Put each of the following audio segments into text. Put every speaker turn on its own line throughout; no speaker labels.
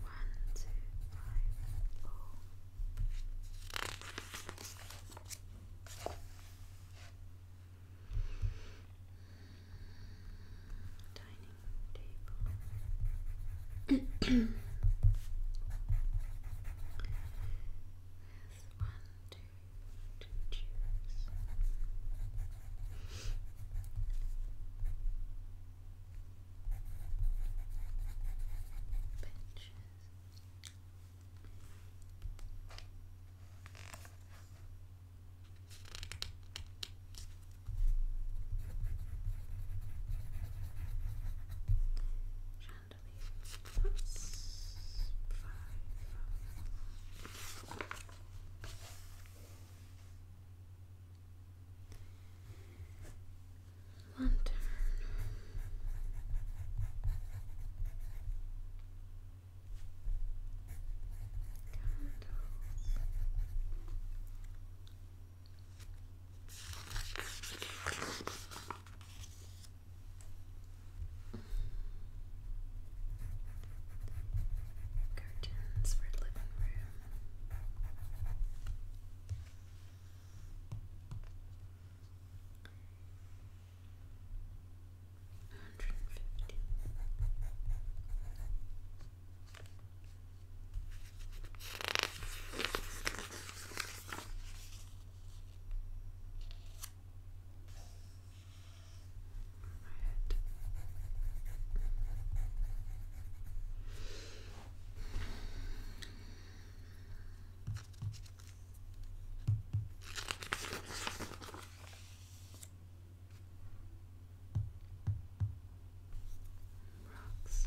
One, two, five, oh. Dining table. Yes, one, two, two Benches. Chandelier. Lantern. Candles. Curtains for living room. 150 my head. Rocks.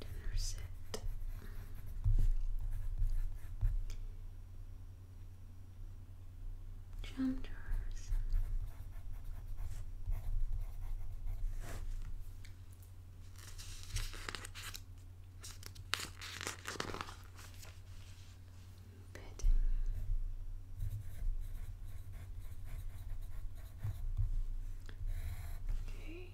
Dinner set. Jump jars. Okay.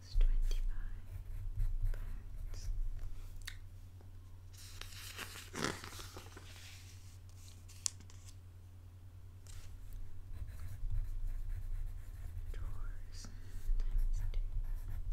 It's twenty five pounds. Doors times two. Towels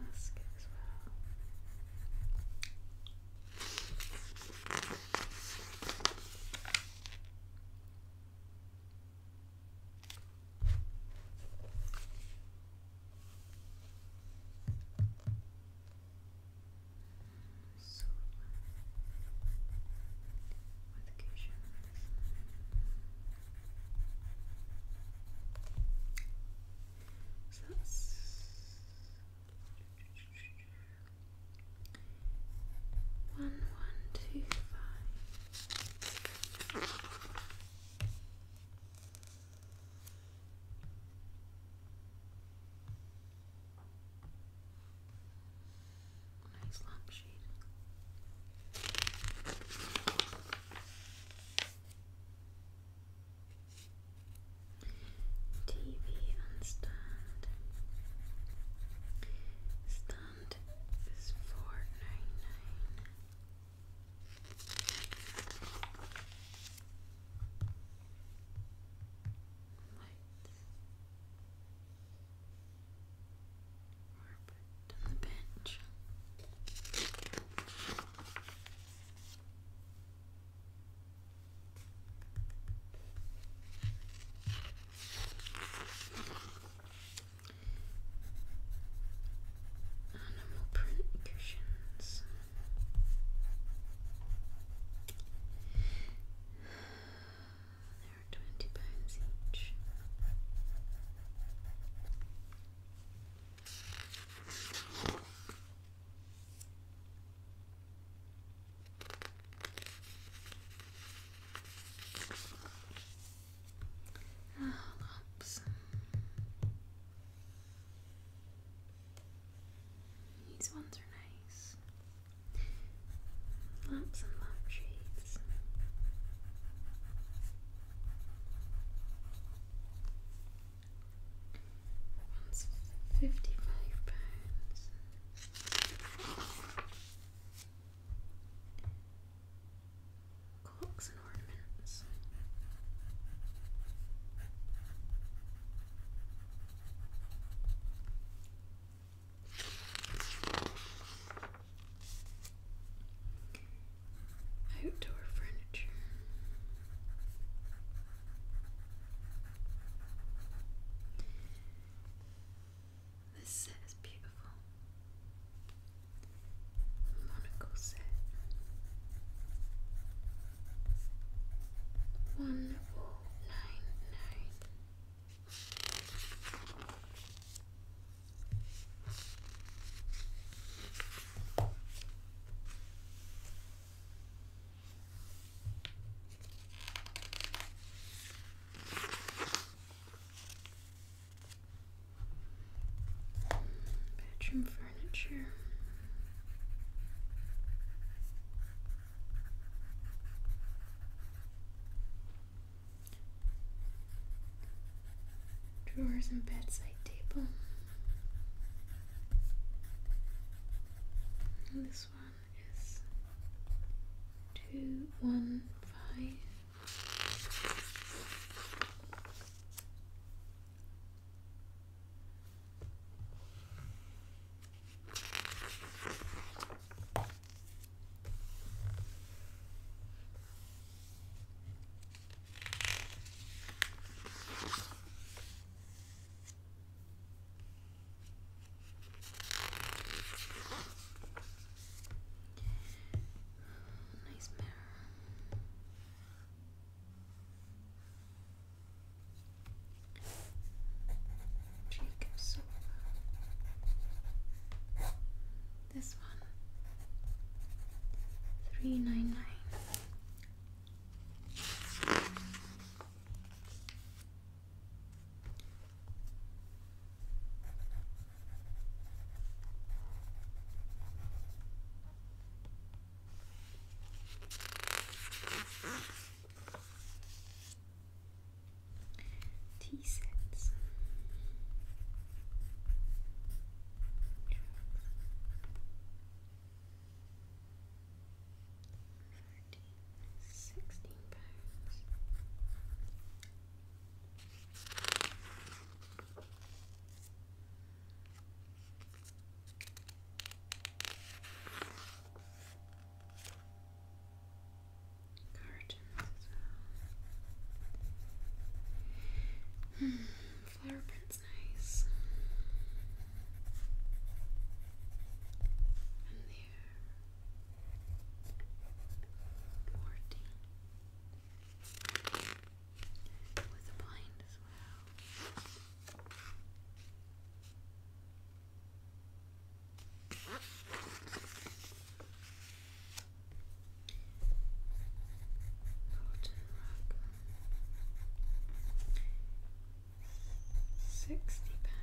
mask as well. So, one, one, two, five. Nice lampshade. TV stand. Stand is four nine nine. Like Robert on Animal print cushions. They're twenty pounds each. Oh, ah, lops. These ones are nice. Lots and lots One's fifty-five pounds. Clocks and ornaments. Outdoor furniture. This set is beautiful. Monocle set. One four nine nine. Bedroom furniture. Drawers and bedside table. this one is two one five. Nice mirror. Cheek This one. Three nine nine. Tea sets. Thirteen, sixteen pounds flower print's nice. And there. Forty with a blind as well. Golden rock. Sixty pounds.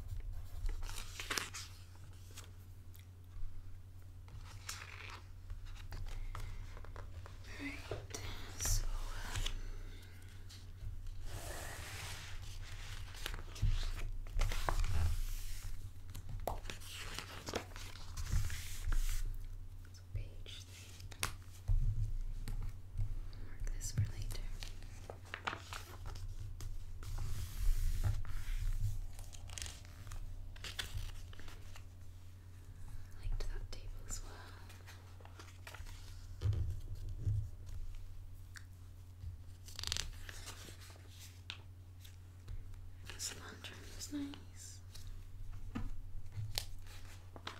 Alright, so um, page three. Mark this for later liked that table as well. This lantern was nice.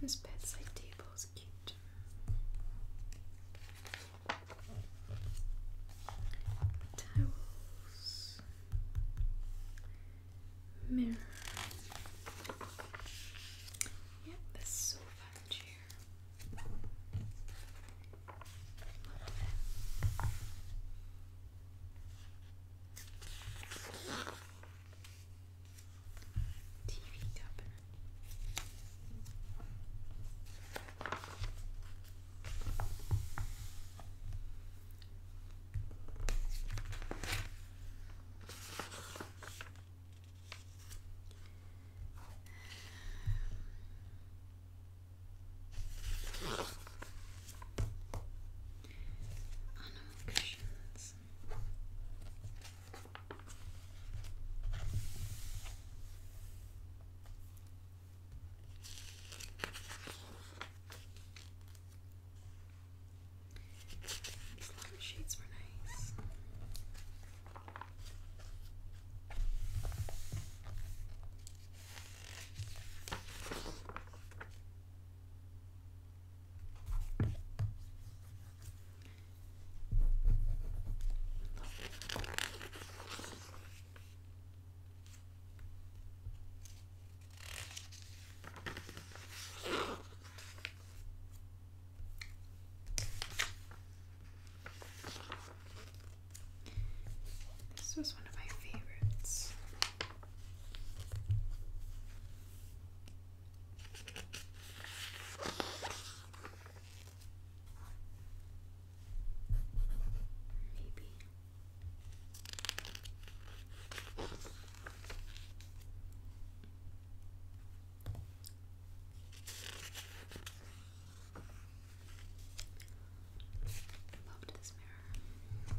This bedside table is cute. Towels, mirror, yeah, this sofa and chair. Loved it. TV cabinet. Animal cushions. These lime shades were nice. This was one of my favorites. Maybe. Loved this mirror.